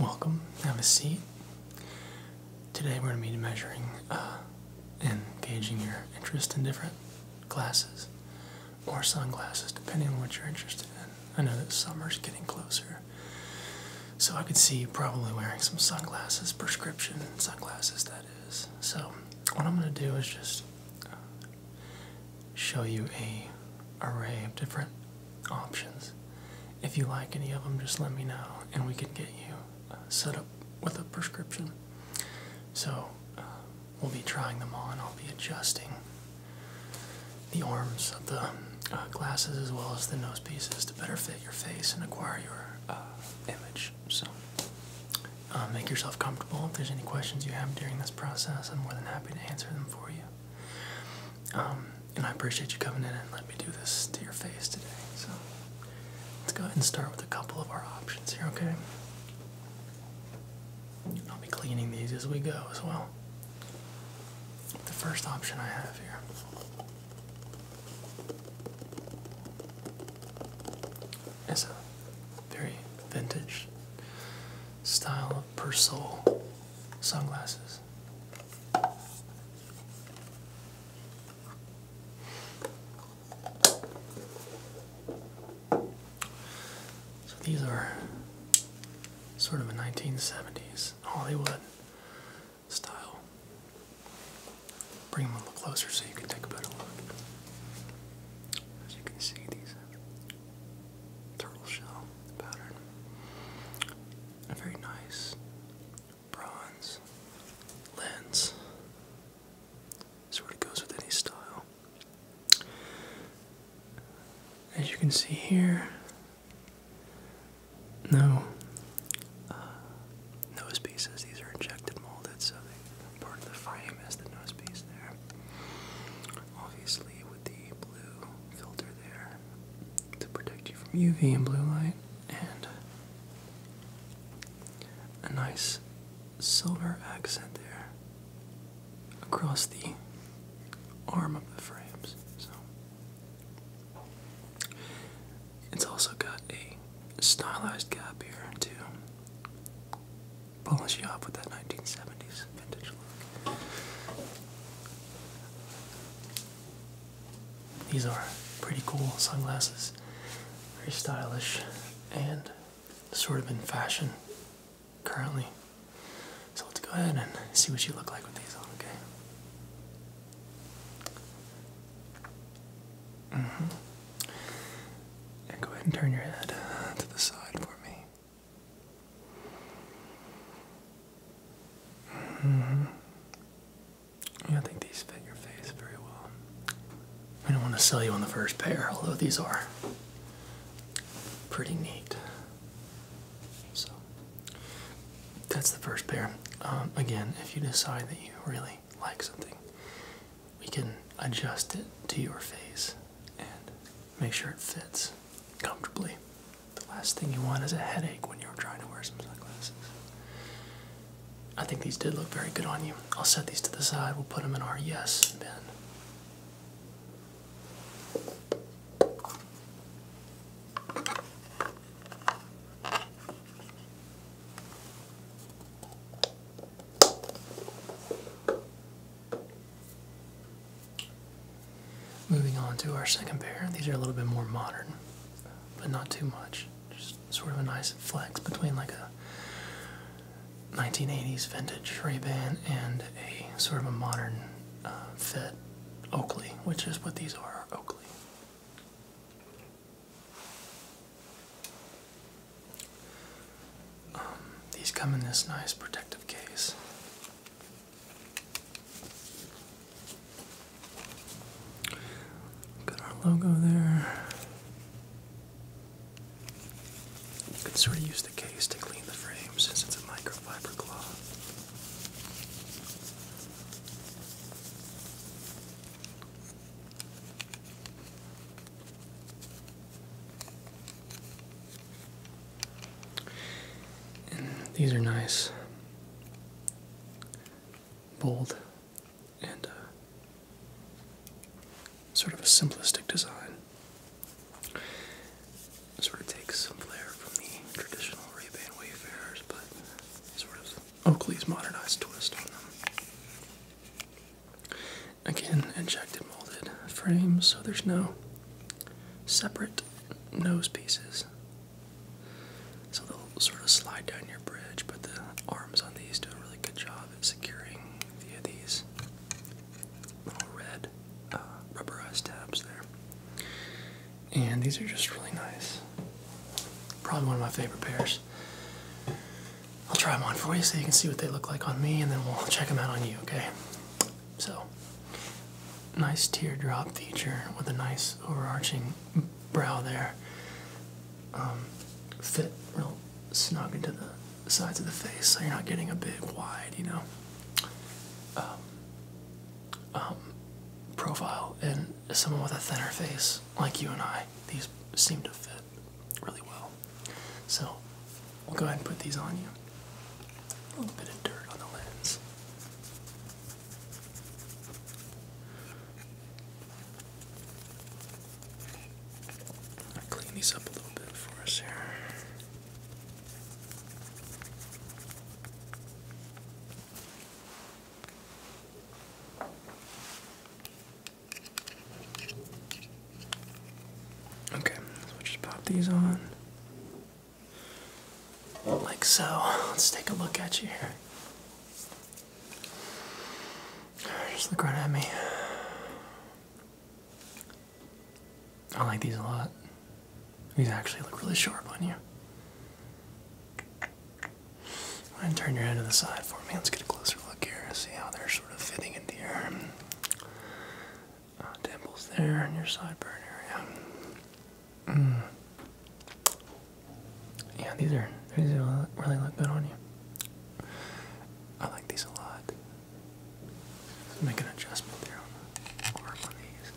Welcome, have a seat. Today we're going to be measuring uh, and gauging your interest in different glasses or sunglasses, depending on what you're interested in. I know that summer's getting closer, so I can see you probably wearing some sunglasses, prescription sunglasses, that is. So, what I'm going to do is just uh, show you a array of different options. If you like any of them, just let me know, and we can get you uh, set up with a prescription. So uh, we'll be trying them on. I'll be adjusting the arms of the uh, glasses as well as the nose pieces to better fit your face and acquire your image. So make yourself comfortable. If there's any questions you have during this process, I'm more than happy to answer them for you. Um, and I appreciate you coming in and letting me do this to your face today. So let's go ahead and start with a couple of our options here, okay? I'll be cleaning these as we go as well. The first option I have here is a very vintage style of Persol sunglasses. So these are sort of a 1970s Hollywood style. Bring them a little closer so you can take a better look. As you can see, these turtle shell pattern. A very nice bronze lens. Sort of goes with any style. As you can see here, no uh, nose pieces. These are injected molded, so they, part of the frame is the nose piece there. Obviously, with the blue filter there, to protect you from UV and blue light, and a nice silver accent there across the arm of the frames. So it's also got a stylized gap here to polish you off with that 1970s vintage look. These are pretty cool sunglasses, very stylish and sort of in fashion currently. So let's go ahead and see what you look like with these on, okay? hmm And go ahead and turn your head to the side for me. -hmm. Yeah, I think these fit your face very well. I don't want to sell you on the first pair, although these are pretty neat. So that's the first pair. Um, again, if you decide that you really like something, we can adjust it to your face and make sure it fits comfortably. The last thing you want is a headache when you're trying to wear some sunglasses. I think these did look very good on you. I'll set these to the side. We'll put them in our yes bin. Moving on to our second pair, these are a little bit more modern, but not too much. Just sort of a nice flex between like a 1980s vintage Ray-Ban and a sort of a modern uh, fit Oakley, which is what these are, Oakley. Um, these come in this nice protective case. Got our logo there. You can sort of use the case to clean the frame since it's a microfiber cloth. And these are nice, bold, and uh, sort of a simplistic design. Sort of takes some flair from the traditional Ray-Ban Wayfarers, but sort of Oakley's modernized twist on them. Again, injected molded frames, so there's no separate nose pieces. So they'll sort of slide down your bridge, but the arms on these do a really good job of securing via these little red uh, rubberized tabs there. And these are just really nice. Probably one of my favorite pairs. I'll try them on for you so you can see what they look like on me, and then we'll check them out on you, okay? So, nice teardrop feature with a nice overarching brow there. Um, fit real snug into the sides of the face, so you're not getting a big wide, you know, um, um, profile. And someone with a thinner face like you and I, these seem to fit really well. So we'll go ahead and put these on you. A little bit of dirt on the lens. I'll clean these up a little bit for us here. Okay, so we just pop these on. Like so. Let's take a look at you here. Just look right at me. I like these a lot. These actually look really sharp on you. And turn your head to the side for me. Let's get a closer look here. See how they're sort of fitting into your uh, dimples there in your sideburn area. Mm. Yeah, these are these are really look good on you. I like these a lot. make an adjustment there on the arm on these.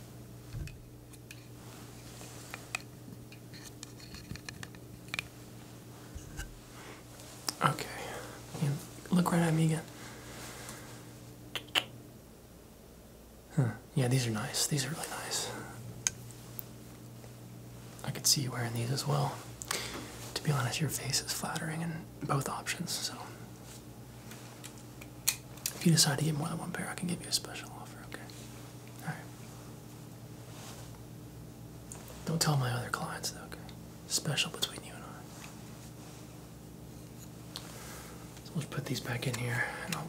Okay. look right at me again. Yeah, these are nice. These are really nice. I could see you wearing these as well. To be honest, your face is flattering in both options, so. If you decide to get more than one pair, I can give you a special offer, okay? Alright. Don't tell my other clients, though, okay? Special between you and I. So let's put these back in here and I'll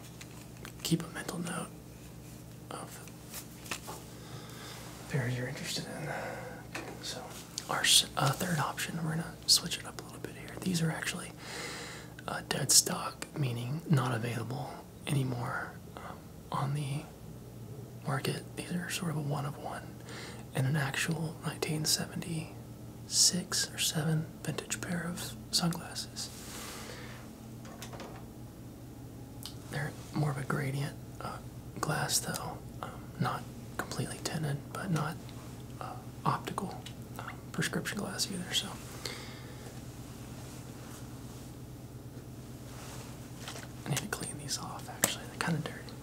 keep a mental note of where you're interested in. so our uh, third option, we're gonna switch it up a little bit here. These are actually uh, dead stock, meaning not available anymore um, on the market. These are sort of a one of one in an actual 1976 or 7 vintage pair of sunglasses. They're more of a gradient uh, glass, though, um, not completely tinted, but not uh, optical um, prescription glass either. So. I need to clean these off actually, they're kind of dirty.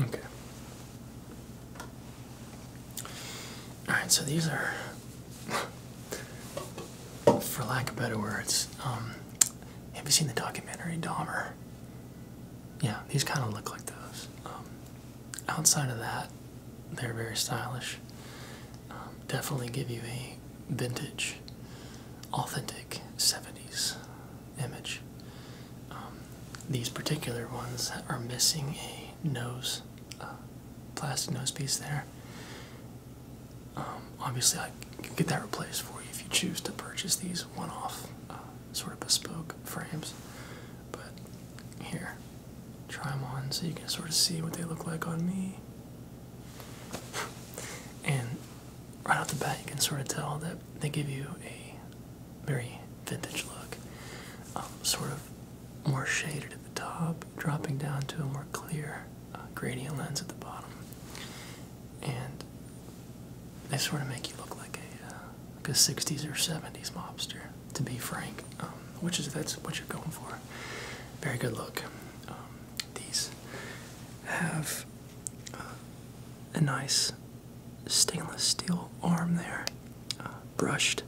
Okay. Alright, so these are, for lack of better words, um, have you seen the documentary Dahmer? Yeah, these kind of look like those. Um, outside of that, they're very stylish. Um, definitely give you a vintage, authentic 70s image. Um, these particular ones are missing a nose, uh, plastic nose piece there. Um, obviously, I can get that replaced for you if you choose to purchase these one-off, uh, sort of bespoke frames. But here, try them on so you can sort of see what they look like on me. and right off the bat, you can sort of tell that they give you a very vintage look, um, sort of more shaded at the top, dropping down to a more clear uh, gradient lens at the bottom, and they sort of make you look like a, uh, a 60s or 70s mobster, to be frank, um, which is that's what you're going for. Very good look. Um, these have uh, a nice stainless steel arm there, uh, brushed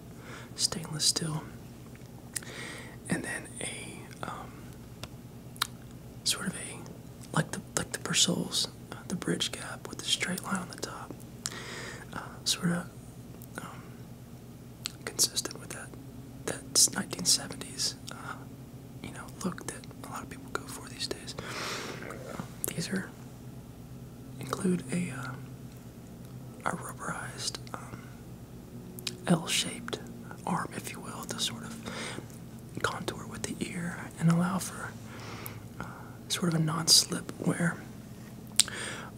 stainless steel, and then a um, sort of a like the like the Persols, uh, the bridge gap with the straight line on the top, sort of um, consistent with that that's 1970s you know look that a lot of people go for these days. Um, these are include a uh, a rubberized um, L-shaped arm, if you will, to sort of contour with the ear and allow for uh, sort of a non-slip wear.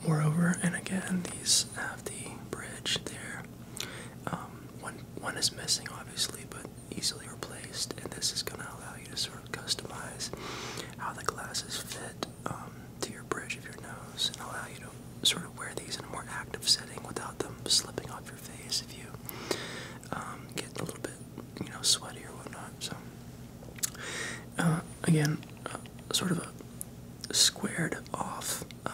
Moreover, and again, these have the bridge there. Um, one one is missing obviously but easily replaced and this is going to allow you to sort of customize how the glasses fit um, to your bridge of your nose and allow you to sort of wear these in a more active setting without them slipping off your face if you um, get a little bit you know sweaty or whatnot so uh, again uh, sort of a squared off uh,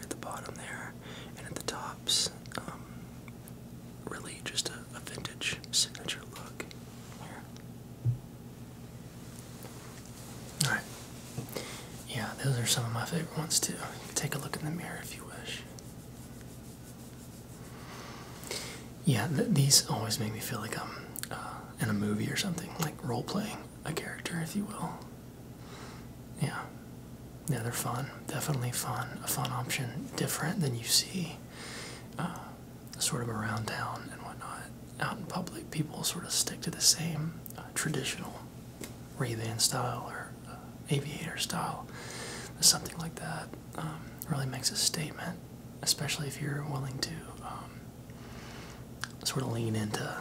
at the bottom there and at the tops um, really just a, vintage signature look Alright. Yeah, those are some of my favorite ones too. Take a look in the mirror if you wish. Yeah, these always make me feel like I'm uh, in a movie or something, like role playing a character, if you will. Yeah. Yeah, they're fun. Definitely fun. A fun option. Different than you see uh, sort of around town and whatnot. Out in public, people sort of stick to the same uh, traditional ray style or uh, aviator style. Something like that um, really makes a statement, especially if you're willing to um, sort of lean into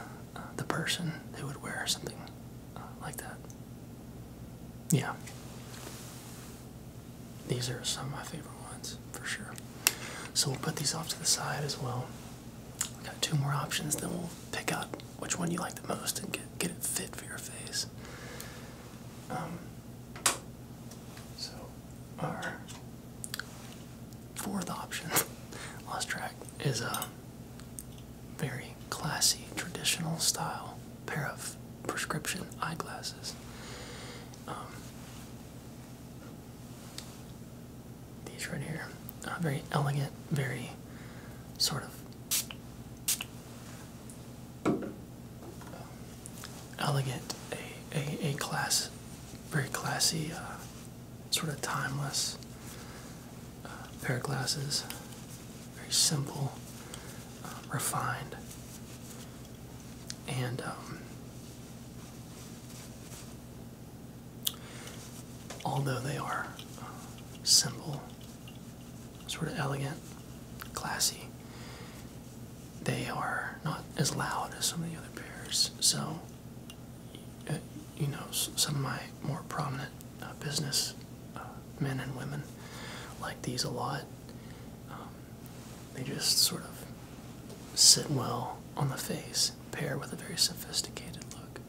the person who would wear something uh, like that. Yeah. These are some of my favorite ones for sure. So we'll put these off to the side as well. We've got two more options, then we'll pick out which one you like the most and get, get it fit for your face. Um, so, our fourth option, lost track, is a. Uh, very classy, traditional style pair of prescription eyeglasses. Um, these right here, uh, very elegant, very sort of um, elegant, a, a, a class, very classy, uh, sort of timeless pair of glasses. Very simple, um, refined, and um, although they are uh, simple, sort of elegant, classy, they are not as loud as some of the other pairs. So. Uh, you know some of my more prominent uh, business uh, men and women like these a lot. Um, they just sort of sit well on the face, pair with a very sophisticated look.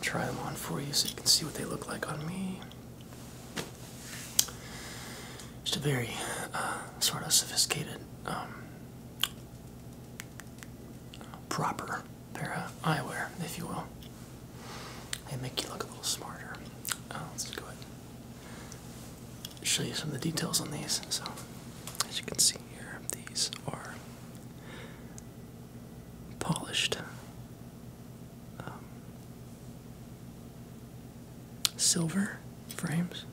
try them on for you so you can see what they look like on me. Just a very uh, sort of sophisticated, um, proper pair of uh, eyewear, if you will. They make you look a little smarter. Uh, let's go ahead show you some of the details on these. So, as you can see here, these are polished um, silver frames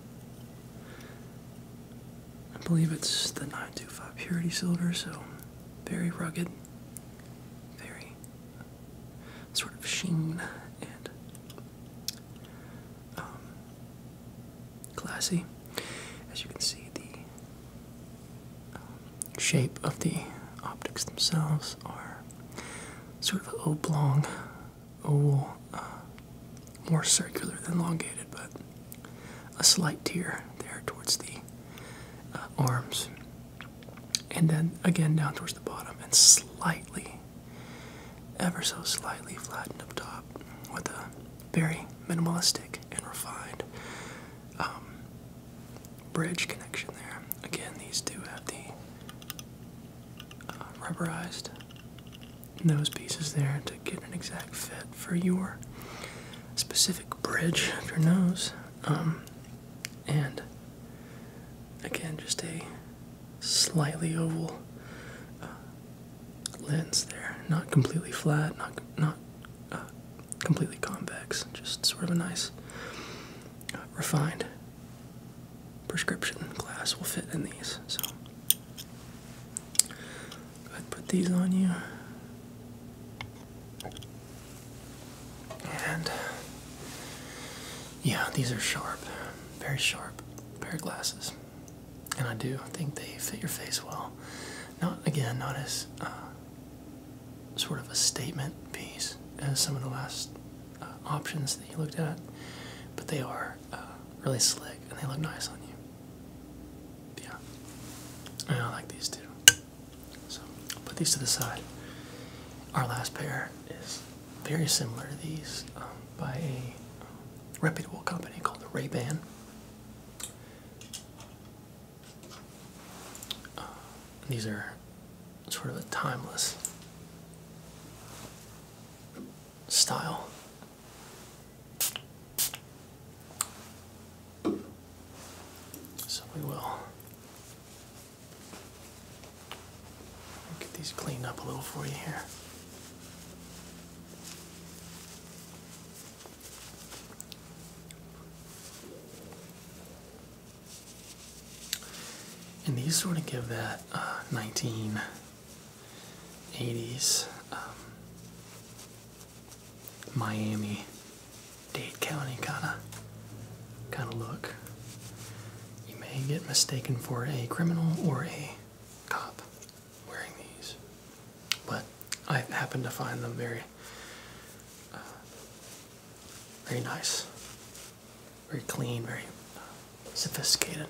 I believe it's the 925 purity silver, so very rugged, very sort of sheen and classy. Um, As you can see, the um, shape of the optics themselves are sort of oblong, oval, uh, more circular than elongated, but a slight tear there towards the uh, arms, and then again down towards the bottom, and slightly, ever so slightly flattened up top with a very minimalistic and refined um, bridge connection there. Again, these do have the uh, rubberized nose pieces there to get an exact fit for your specific bridge of your nose. Um, and again, just a slightly oval uh, lens there, not completely flat, not uh, completely convex, just sort of a nice, uh, refined prescription glass will fit in these. So I'd put these on you. And yeah, these are sharp, very sharp pair of glasses. And I do think they fit your face well. Not, again, not as uh, sort of a statement piece as some of the last uh, options that you looked at, but they are uh, really slick and they look nice on you yeah, I like these too. So I'll put these to the side. Our last pair is very similar to these um, by a um, reputable company called the Ray Ban. Uh, these are sort of a timeless style so we will get these cleaned up a little for you here. And these sort of give that uh, 19 80s. Um, Miami, Dade County kind of kind of look. You may get mistaken for a criminal or a cop wearing these, but I happen to find them very, uh, very nice, very clean, very uh, sophisticated.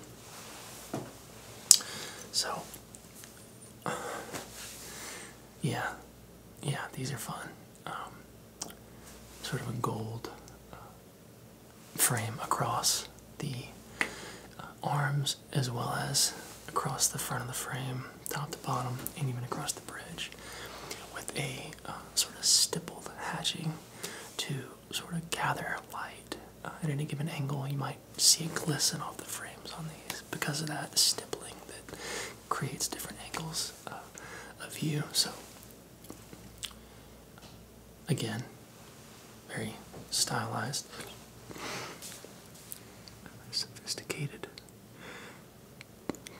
So yeah, yeah, these are fun. Um, sort of a gold uh, frame across the uh, arms as well as across the front of the frame, top to bottom, and even across the bridge, with a uh, sort of stippled hatching to sort of gather light at any given angle. You might see a glisten off the frames on these because of that stippling that creates different angles uh, of view. So, again, very stylized, sophisticated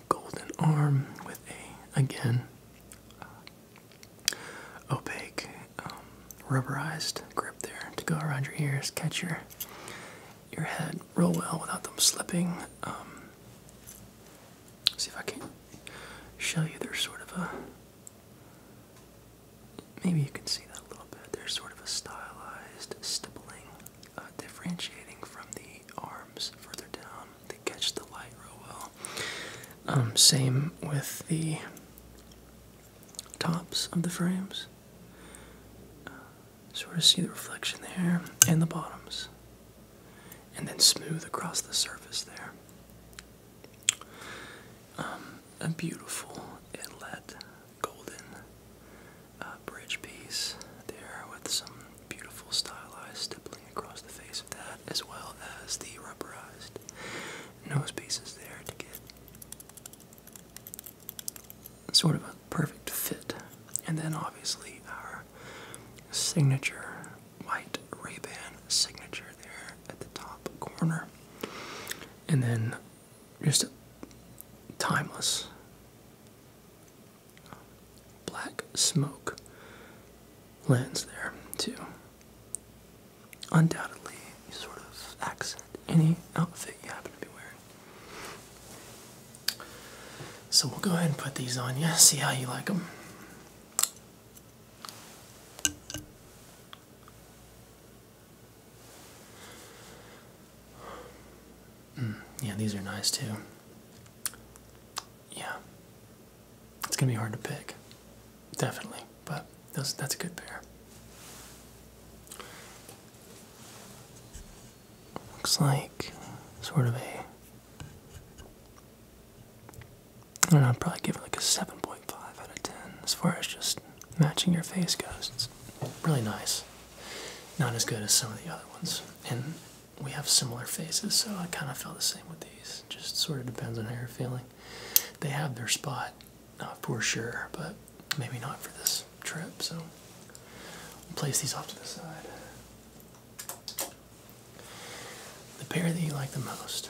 golden arm with a, again, uh, opaque. Um, rubberized grip there to go around your ears, catch your your head real well without them slipping. Um, see if I can show you. There's sort of a maybe you can see that a little bit. There's sort of a stylized stippling, uh, differentiating from the arms further down. They catch the light real well. Um, same with the tops of the frames. Uh, sort of see the reflection there and the bottoms, and then smooth across the surface there. Um, a beautiful inlet, golden uh, bridge piece there with some beautiful stylized stippling across the face of that, as well as the rubberized nose pieces there to get sort of a perfect fit. And then obviously our signature white Ray-Ban signature there at the top corner. And then just timeless black smoke lens there too undoubtedly sort of accent any outfit you happen to be wearing. So we'll go ahead and put these on you, see how you like them. Mm, yeah, these are nice too. Yeah. It's going to be hard to pick. Definitely, but that's that's a good pair. Looks like sort of a. I don't know, I'd probably give it like a 7.5 out of 10 as far as just matching your face goes. It's really nice. Not as good as some of the other ones. And we have similar faces, so I kind of felt the same with these. Just sort of depends on how you're feeling. They have their spot not for sure, but maybe not for this trip. So we'll place these off to the side. The pair that you like the most.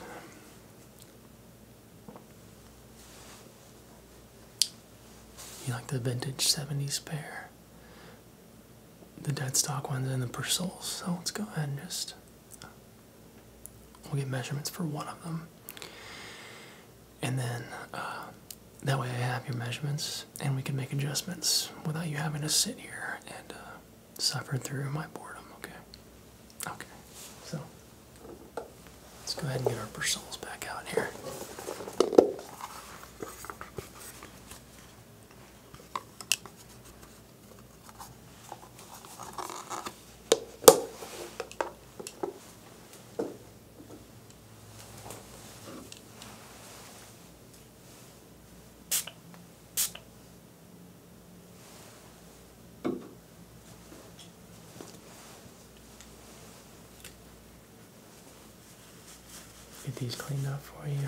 You like the vintage 70s pair, the dead stock ones, and the Persols. So let's go ahead and just We'll get measurements for one of them. And then uh, that way I have your measurements and we can make adjustments without you having to sit here and uh, suffer through my boredom, okay? Okay, so let's go ahead and get our Persols back out here. Get these cleaned up for you.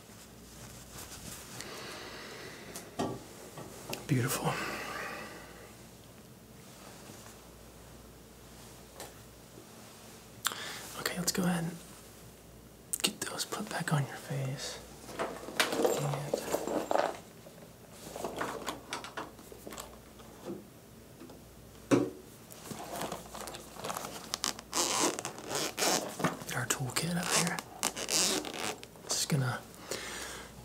Beautiful. Okay, let's go ahead and get those put back on your face. Get our toolkit up here. Just gonna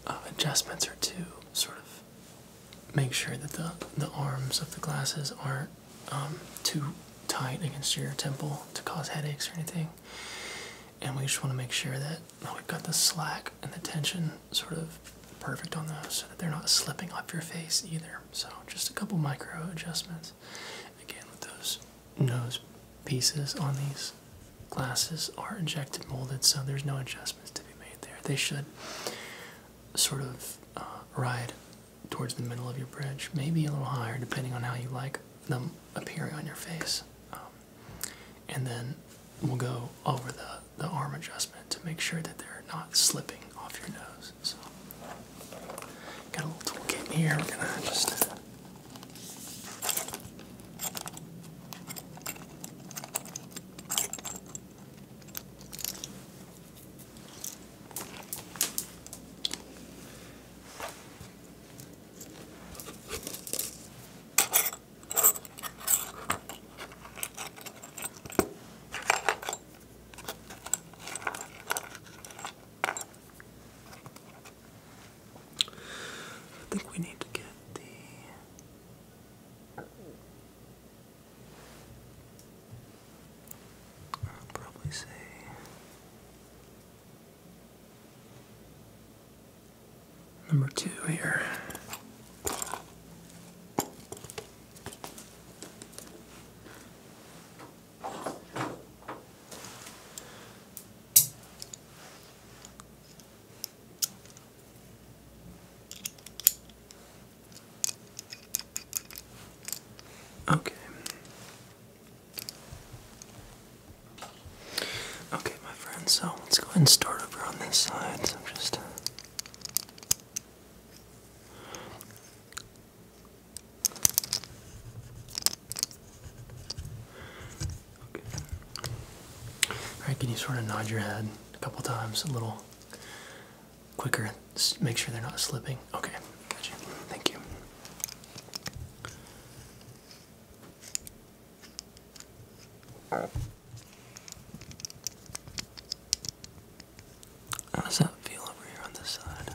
uh, adjustments are to sort of make sure that the the arms of the glasses aren't um, too tight against your temple to cause headaches or anything. And we just want to make sure that we've got the slack and the tension sort of perfect on those so that they're not slipping off your face either. So just a couple micro adjustments again with those nose pieces on these glasses are injected molded, so there's no adjustments to be made there. They should sort of uh, ride towards the middle of your bridge, maybe a little higher, depending on how you like them appearing on your face. Um, and then we'll go over the, the arm adjustment to make sure that they're not slipping off your nose. Got a little toolkit in here. We're gonna just. I think we need to get the. I'll probably say. Number two here. Okay. Okay, my friends, so let's go ahead and start over on this side. So just all right, can you sort of nod your head a couple times, a little quicker? Just make sure they're not slipping. Okay, gotcha. Thank you. How does that feel over here on this side?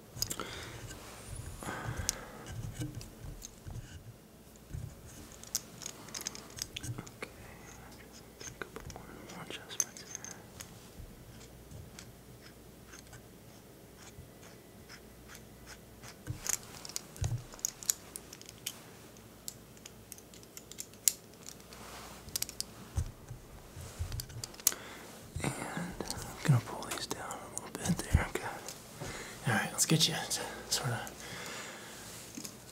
just take a couple more adjustments here. And I'm gonna pull these down a little bit there. Good. All right, let's get you sort of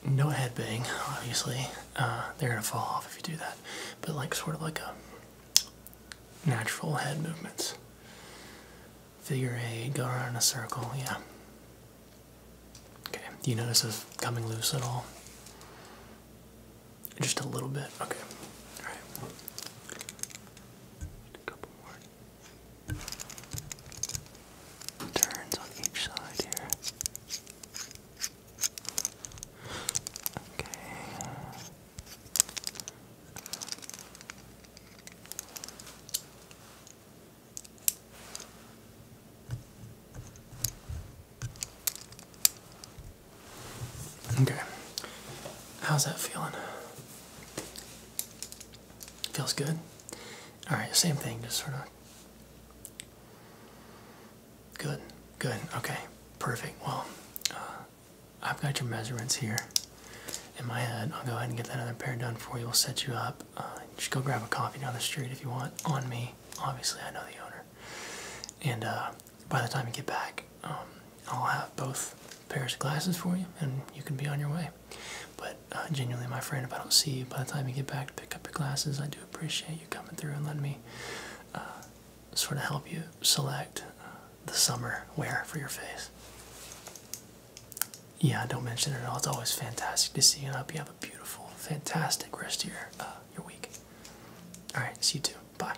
no head bang. Obviously, uh, they're gonna fall off if you do that. But like sort of like a natural head movements. Figure eight, go around in a circle. Yeah. Okay. Do you notice it's coming loose at all? Just a little bit. Okay. All right. And a couple more turns on each side here. Okay. Okay. How's that feeling? Feels good? Alright, same thing, just sort of. Good, good, okay, perfect. Well, uh, I've got your measurements here in my head. I'll go ahead and get that other pair done for you. We'll set you up. Uh, just go grab a coffee down the street if you want, on me. Obviously, I know the owner. And uh, by the time you get back, um, I'll have both pairs of glasses for you and you can be on your way. But uh, genuinely, my friend, if I don't see you by the time you get back to pick up your glasses, I do appreciate you coming through and letting me uh, sort of help you select uh, the summer wear for your face. Yeah, don't mention it at all. It's always fantastic to see you. And I hope you have a beautiful, fantastic rest of your, your week. All right, see you too. Bye.